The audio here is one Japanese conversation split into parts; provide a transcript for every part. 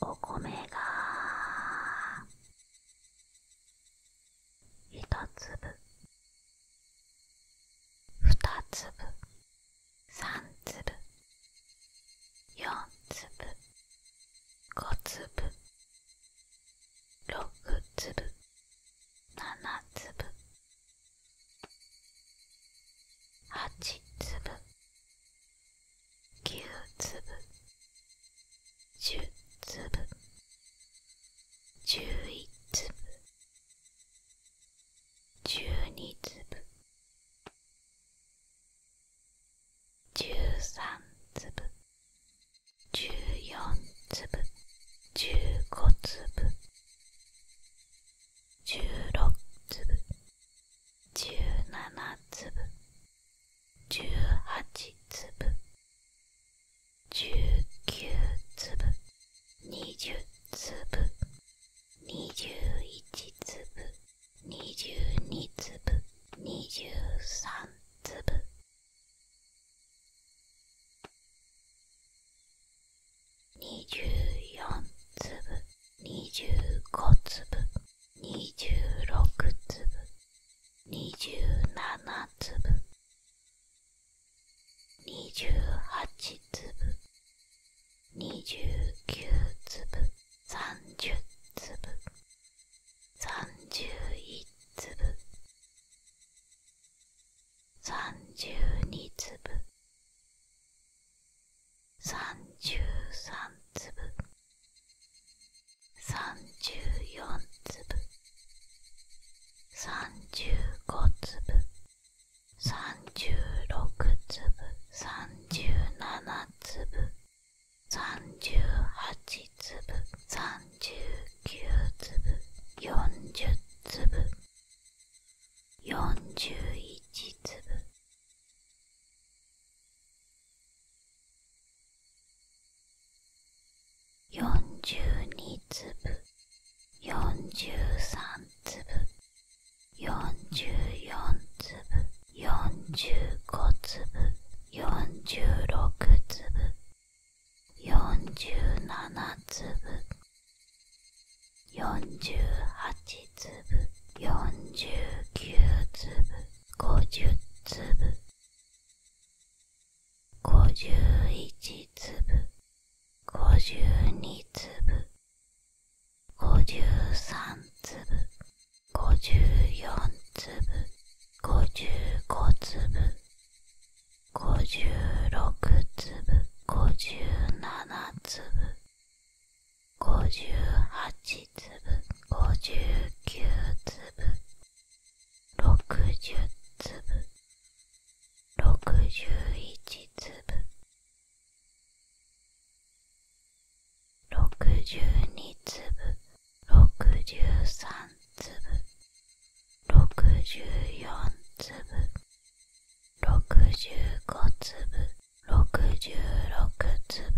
お米が一粒二粒三粒四粒五粒六粒七粒八粒9粒10粒11粒12粒13粒14粒15粒16粒17粒18粒19粒20粒21粒22粒23粒24粒25粒26粒27粒28粒29粒30粒31粒32粒33粒34粒35粒36粒37粒38粒39粒40粒41粒42粒43粒44粒45粒46粒47粒48粒49粒50粒51粒52粒53粒54粒55粒56粒57ぶ…58粒59粒60粒61粒62粒63粒64粒65粒66粒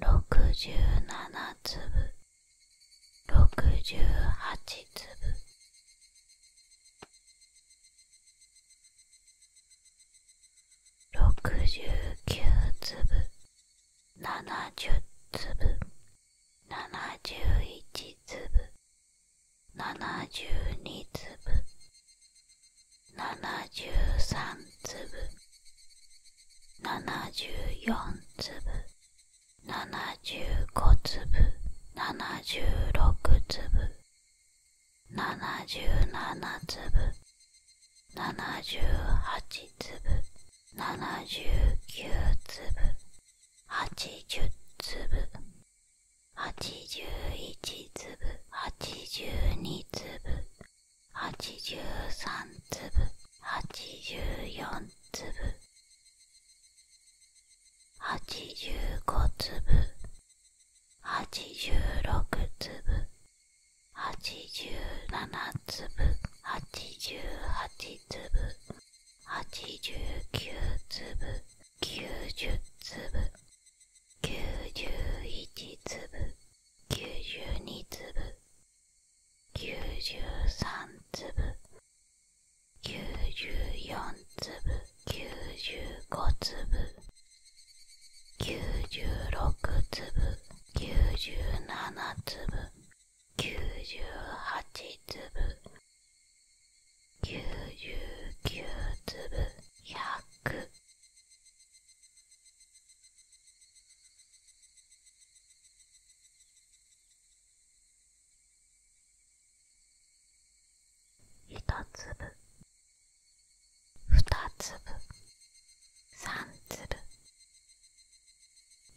六十七粒六十八粒六十九粒七十粒七十一粒七十二粒73粒74粒75粒76粒77粒78粒79粒80粒81粒82粒83粒84粒85粒86粒87粒88粒89粒90粒91粒九十二粒九十三粒九十四粒九十五粒九十六粒九十七粒九十八粒九十九粒百一粒二粒三粒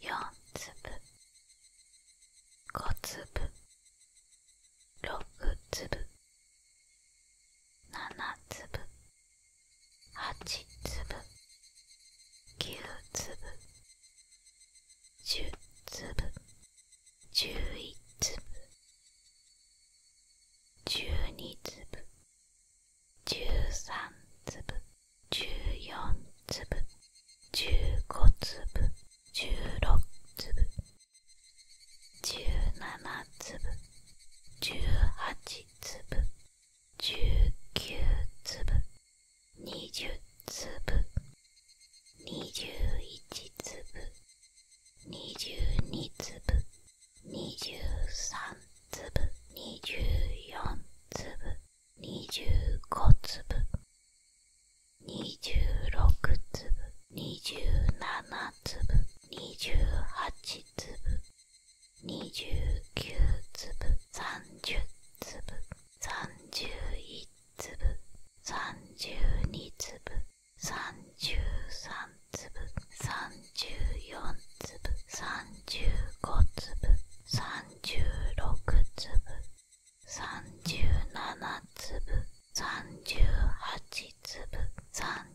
四粒五粒六粒七粒8粒9粒10粒11粒12粒13粒14粒15粒16粒17粒18粒19粒20粒21粒22粒23粒24粒25粒26粒27粒28粒29粒30粒31粒32粒33粒34粒35粒36粒37粒38粒3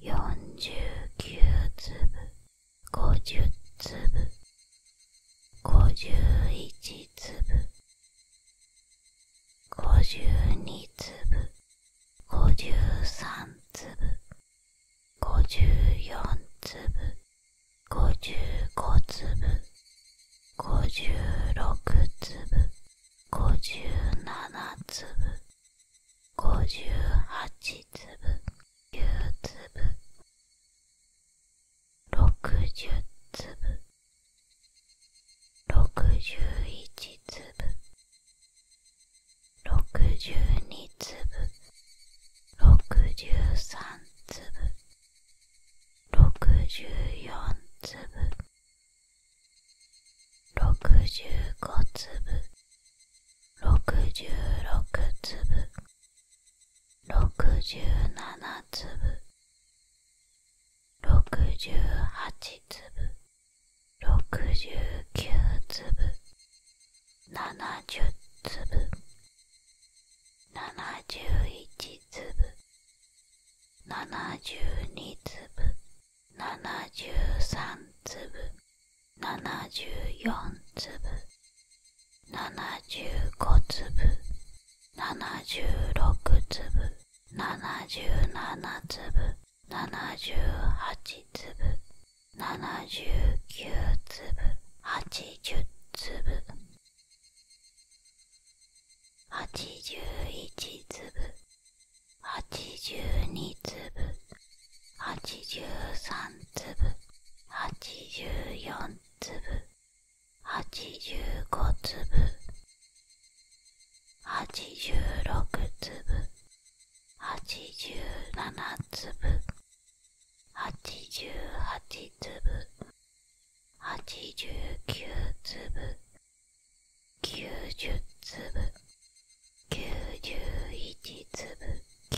49粒50粒51粒52粒53粒54粒55粒56粒五十七粒五十八粒九粒六十粒六十一粒六十二粒六十三粒六十四粒65粒66粒67粒68粒69粒70粒71粒72粒73粒74粒75粒76粒77粒78粒79粒80粒81粒82粒83粒84粒85粒86粒87粒88粒89粒90粒91粒92粒93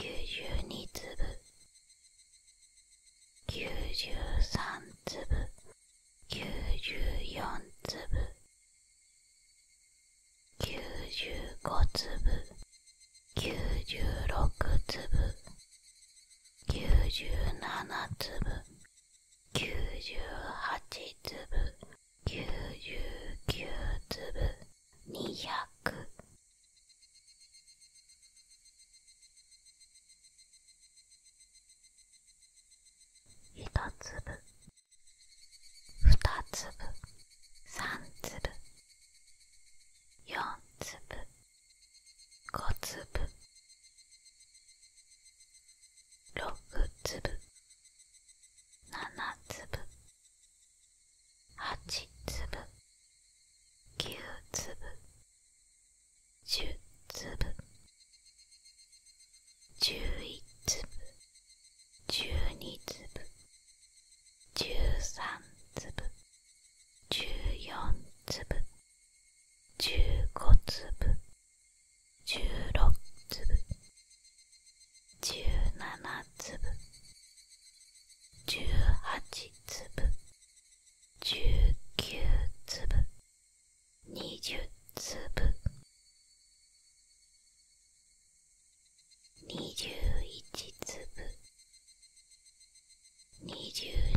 粒94粒95粒96粒97粒九十八粒九十九粒二百一粒二粒三粒四粒五粒六粒七粒八粒九粒十粒十一粒十二粒十三粒十四粒十五粒16粒17粒18粒19粒20粒21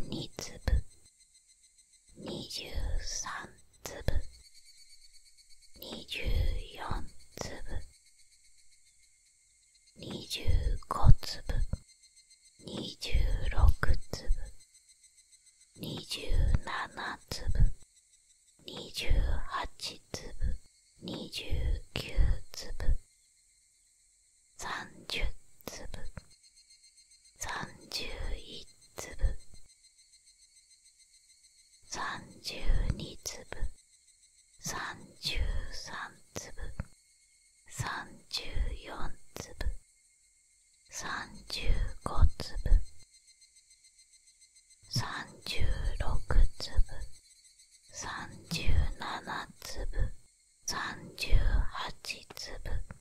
粒22粒23粒24粒25粒26粒27粒28粒29粒30粒31粒三十二粒三十三粒三十四粒三十五粒三十六粒三十七粒三十八粒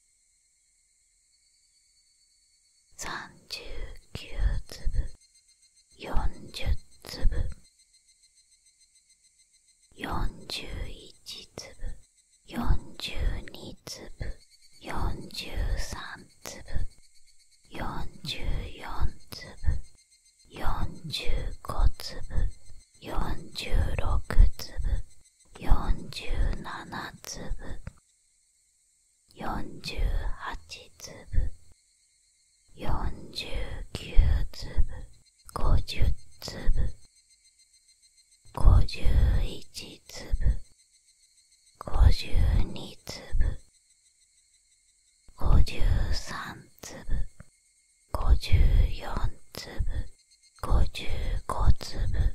39粒40粒41粒42粒43粒44粒45粒46粒47粒48粒49粒50粒51粒52粒53粒54粒55粒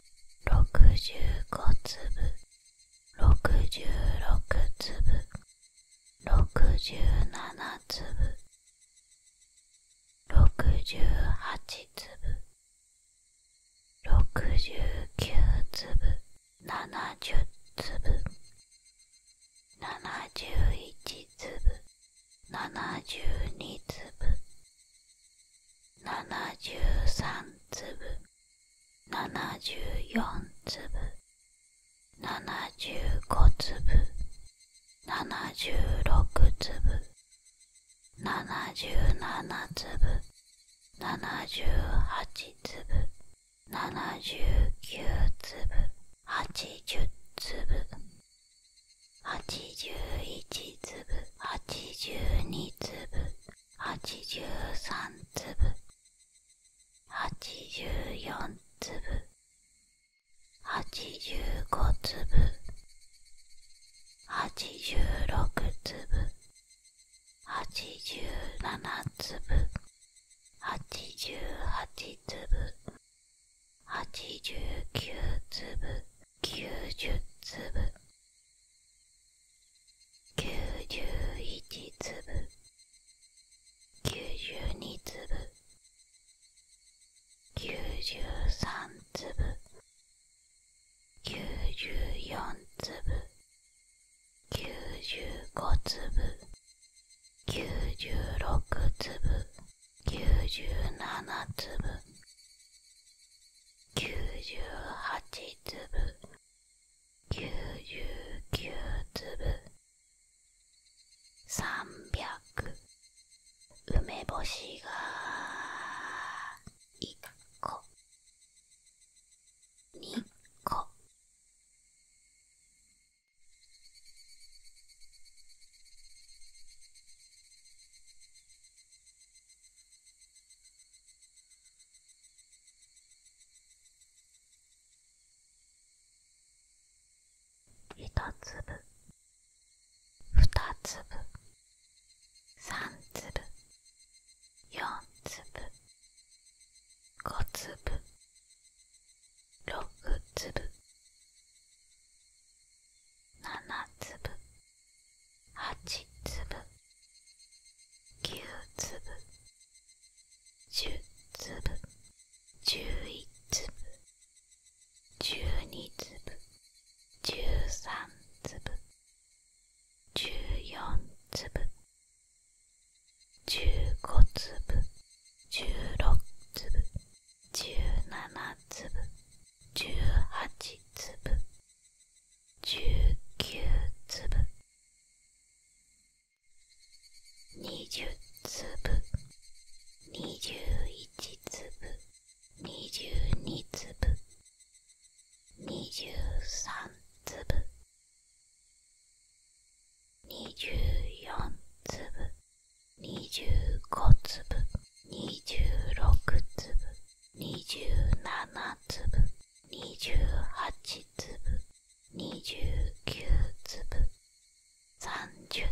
65粒66粒67粒68粒69粒70粒71粒72粒73粒74粒75粒76粒77粒78粒79粒80粒81粒82粒83粒84粒85粒86粒87粒88粒89粒九十粒九十一粒九十二粒九十三粒九十四粒九十五粒九十六粒九十七粒98粒99粒300梅干しが1個2個一粒二粒三粒四粒五粒六粒七粒8粒9粒10粒11粒12粒13粒14粒15粒16粒17粒18粒19粒20粒21粒22粒23粒24粒25粒26粒27粒28粒29粒30粒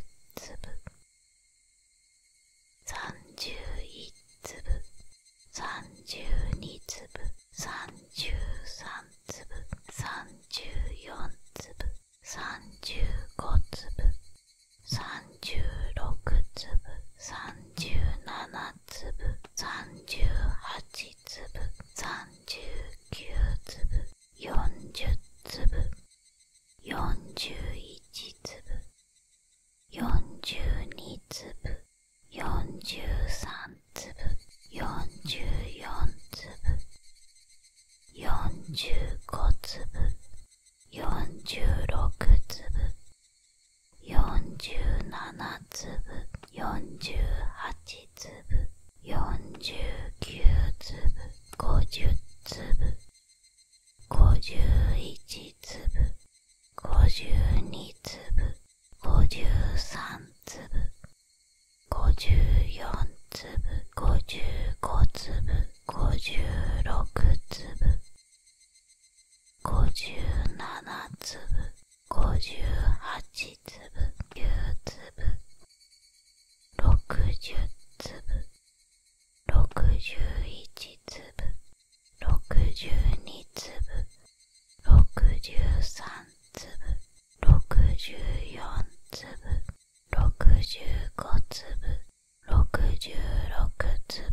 31粒32粒33粒34粒35粒36粒37粒つ粒38粒39粒40粒41粒42粒43粒44粒45粒46粒47粒48粒49粒50粒51粒52粒53粒54粒55粒56粒57粒58粒9粒60粒61粒62粒63粒64粒65粒66粒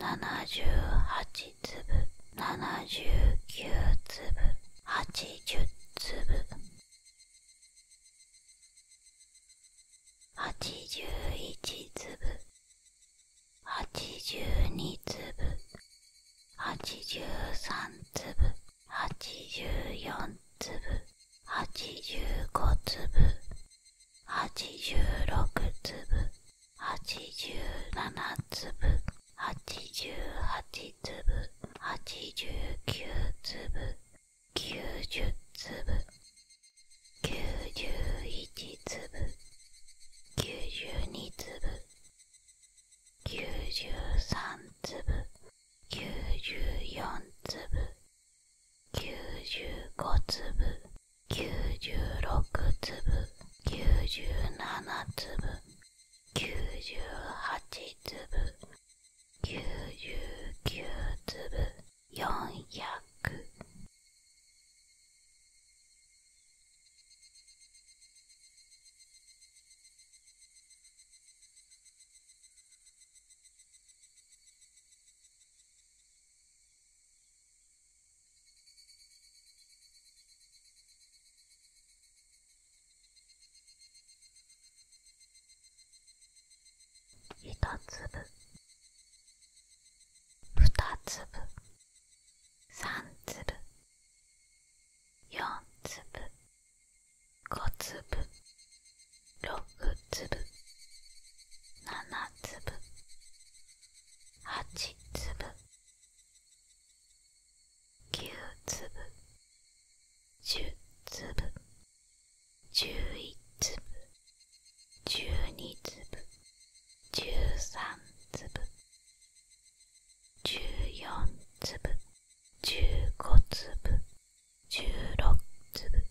78粒79粒80粒81粒82粒83粒84粒85粒86粒87粒88粒89粒90粒91粒92粒93粒94粒95粒九十六粒九十七粒九十八粒九十九粒四百。一粒二粒三粒四粒五粒六粒七粒8粒9粒10粒11粒12粒13粒14粒15粒16粒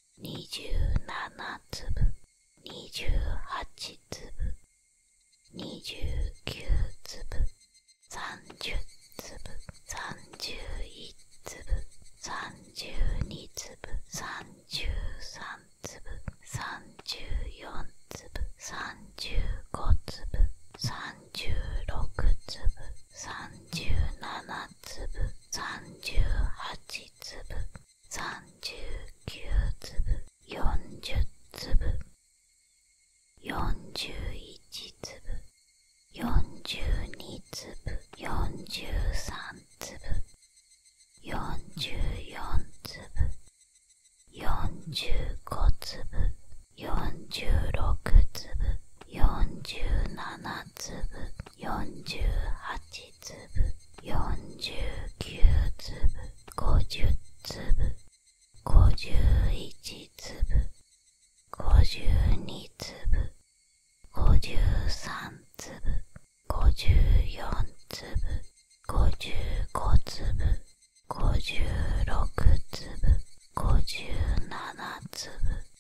27粒28粒29粒30粒31粒32粒33粒34粒35粒36粒37粒38粒39粒40粒41粒42粒43粒44粒45粒46粒47粒48粒49粒50粒51粒52粒53粒54粒55粒56粒57粒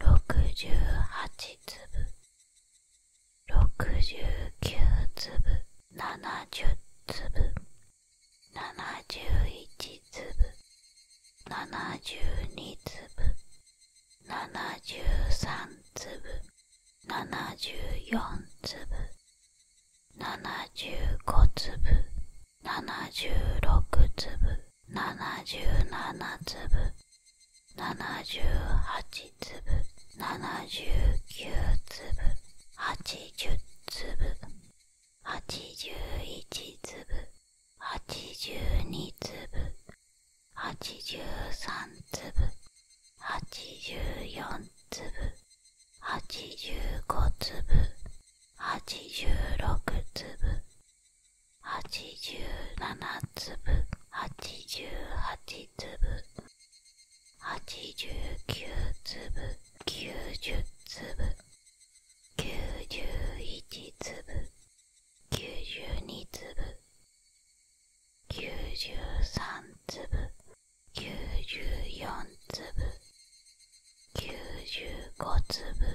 六十八粒六十九粒七十粒七十一粒七十二粒七十三粒七十四粒七十五粒七十六粒77粒78粒79粒80粒81粒82粒83粒84粒85粒86粒87粒88粒89粒90粒91粒92粒93粒94粒95粒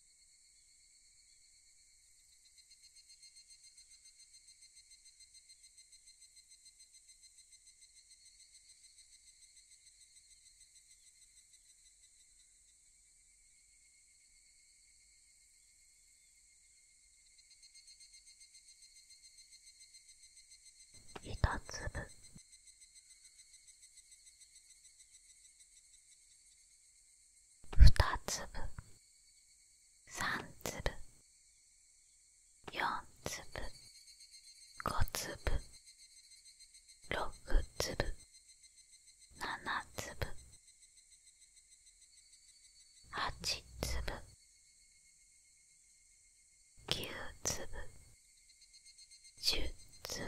一粒2粒3粒4粒5粒6粒7粒8粒9粒10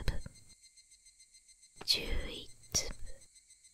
粒11粒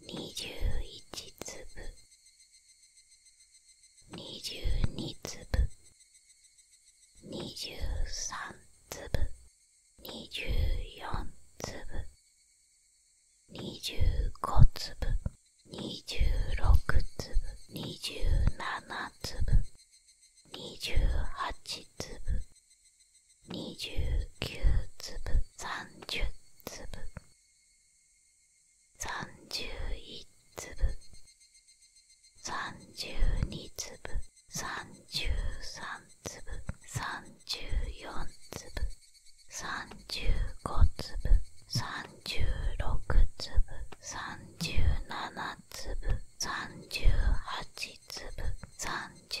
21粒22粒23粒24粒25粒26粒27粒27粒28ぶ…29粒30粒31粒32粒33粒34粒35粒36粒37粒38粒39粒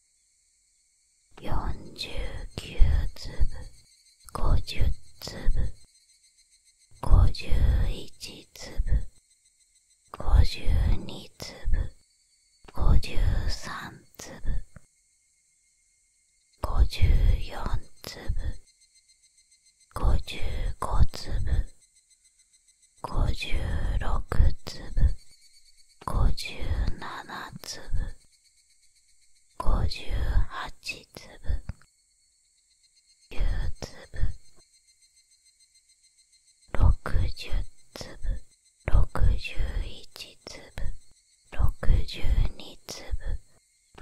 49粒50粒51粒52粒53粒54粒55粒56粒57粒58粒9粒60粒61粒62粒63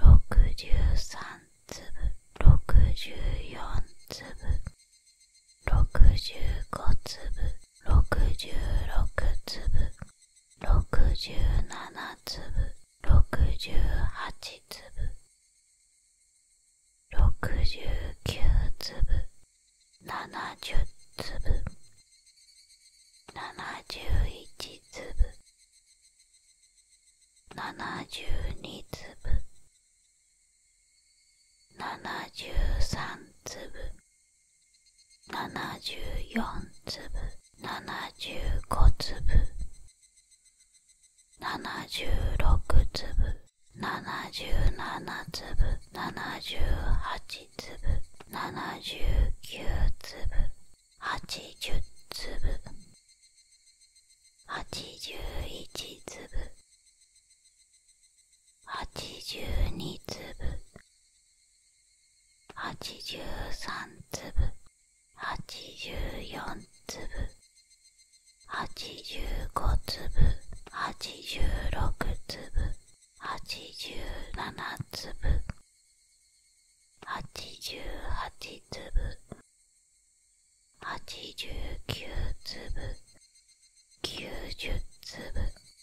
粒64粒65粒66粒67粒68粒69粒70粒71粒72粒73粒74粒75粒76粒77粒78粒79粒80粒81粒82粒83粒84粒85粒86粒87粒88粒89粒90粒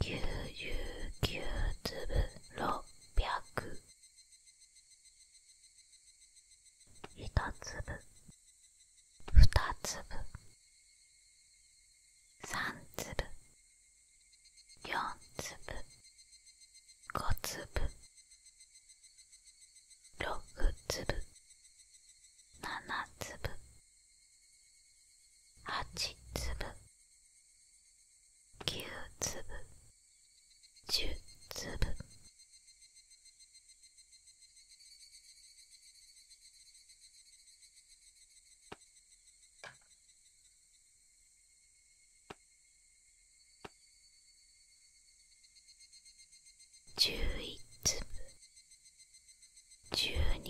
9、9、粒、600…1 粒2粒3粒4粒5粒6粒7粒8粒9粒10粒11粒12粒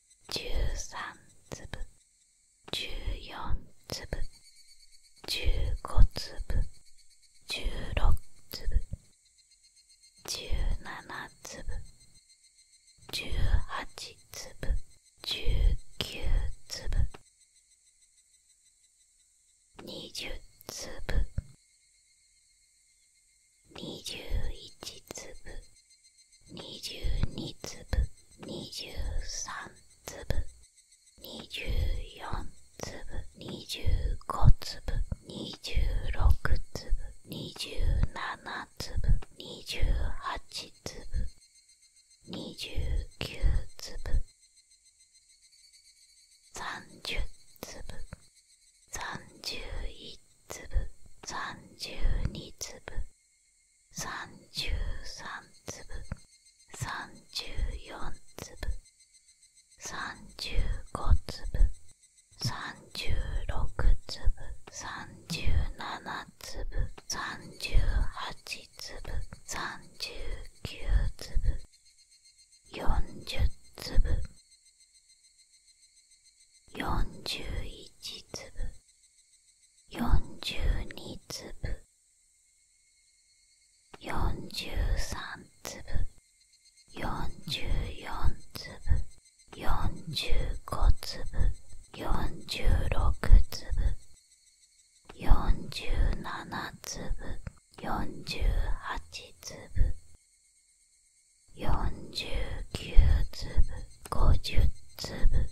13粒14粒15粒16粒17粒18粒19粒20粒21粒22粒23粒24粒25粒26粒27粒28粒29粒30粒31粒32粒33粒34粒35粒36粒37粒38粒39粒40粒41粒42粒43粒44粒45粒46粒47粒48粒49粒50粒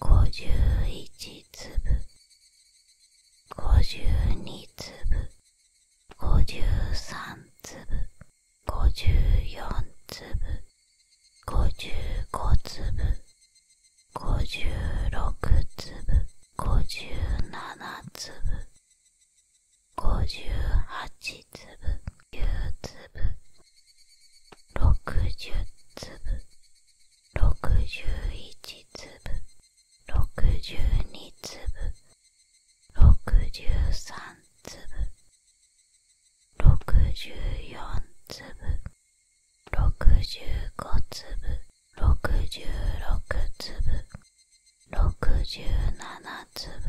51粒52粒53粒54粒55粒56粒57粒58粒9粒60粒61粒62粒63粒64粒65粒66粒67粒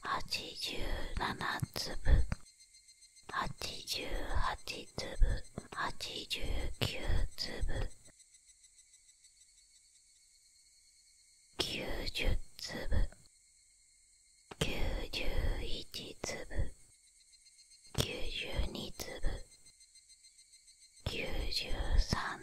八十七粒八十八粒八十九粒九十粒九十一粒九十二粒九十三粒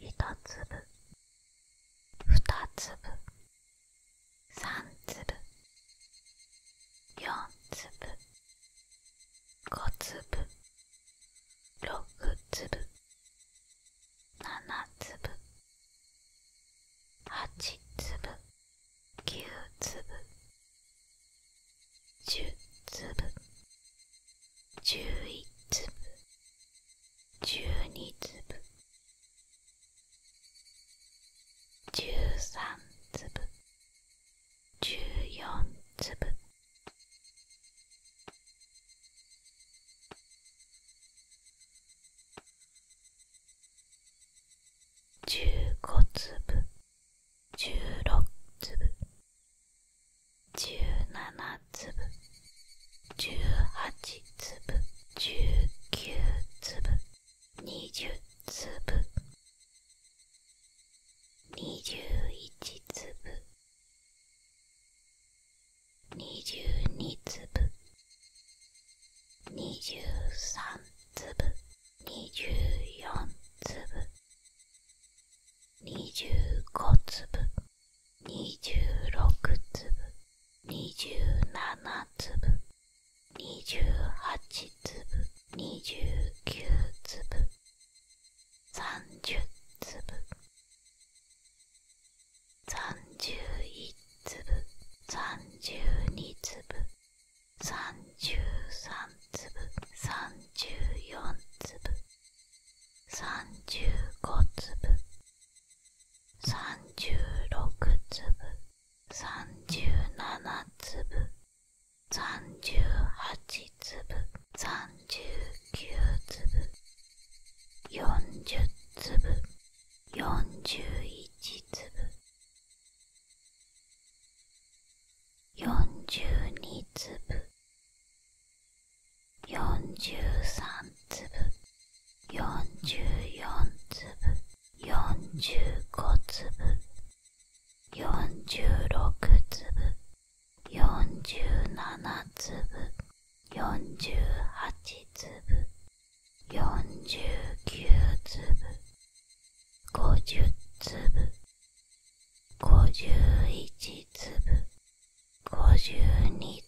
一粒二粒三粒四粒五粒六粒七粒8粒9粒10粒11粒12粒13粒14粒15粒16粒17粒18粒19粒20粒21粒22粒23粒24粒25粒26粒27粒28粒29粒30粒三十一粒三十二粒三十三粒三十四粒三十五粒三十六粒三十七粒三十八粒三十九粒四十粒41粒42粒43粒44粒45粒46粒47粒48粒49粒50粒51粒52粒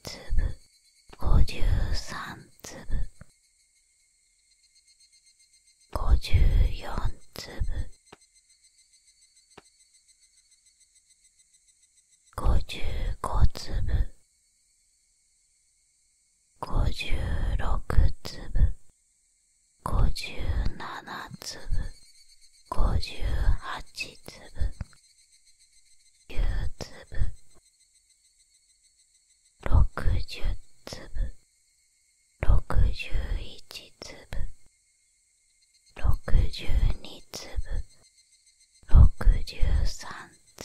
53粒54粒55粒56粒57粒58粒9粒60粒61粒62粒63粒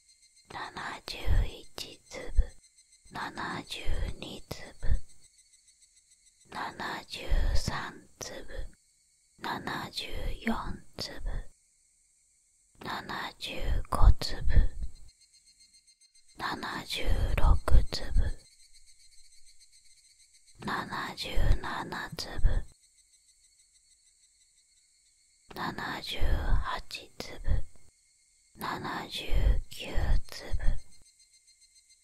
71粒72粒73粒74粒75粒76粒77粒78粒79粒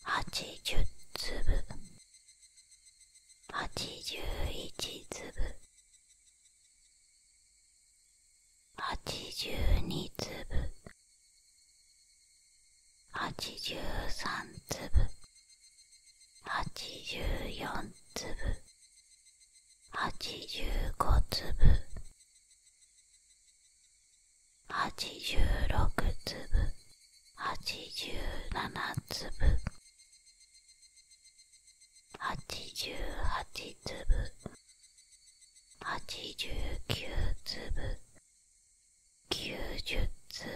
80粒81粒82粒83粒84粒八十五粒八十六粒八十七粒8十八粒八十九粒九十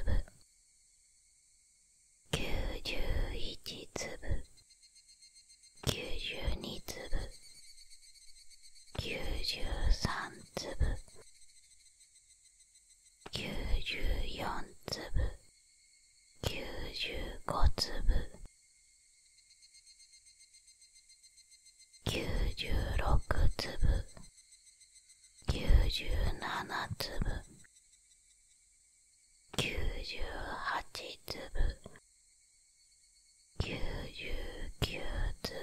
粒9 1一粒九十二粒九十三粒九十四粒九十五粒九十六粒九十七粒98粒99粒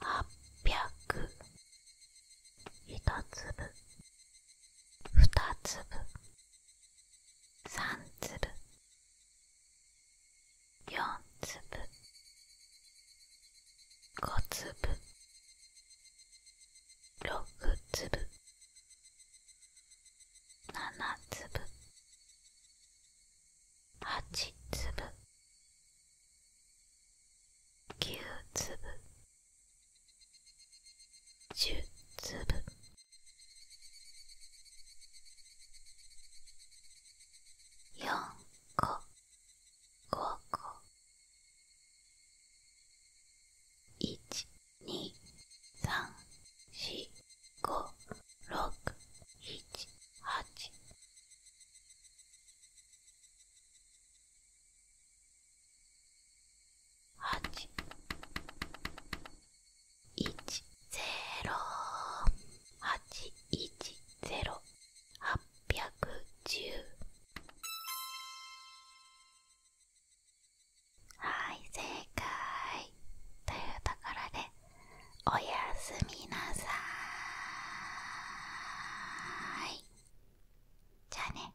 800一粒二粒三粒四粒五粒六粒七粒八粒九粒十粒四個五個一2、3、4、5、6、7、8。八、一、ゼロ、八、一、ゼロ、八百十。はい正解というところでおやすみなさいじゃあね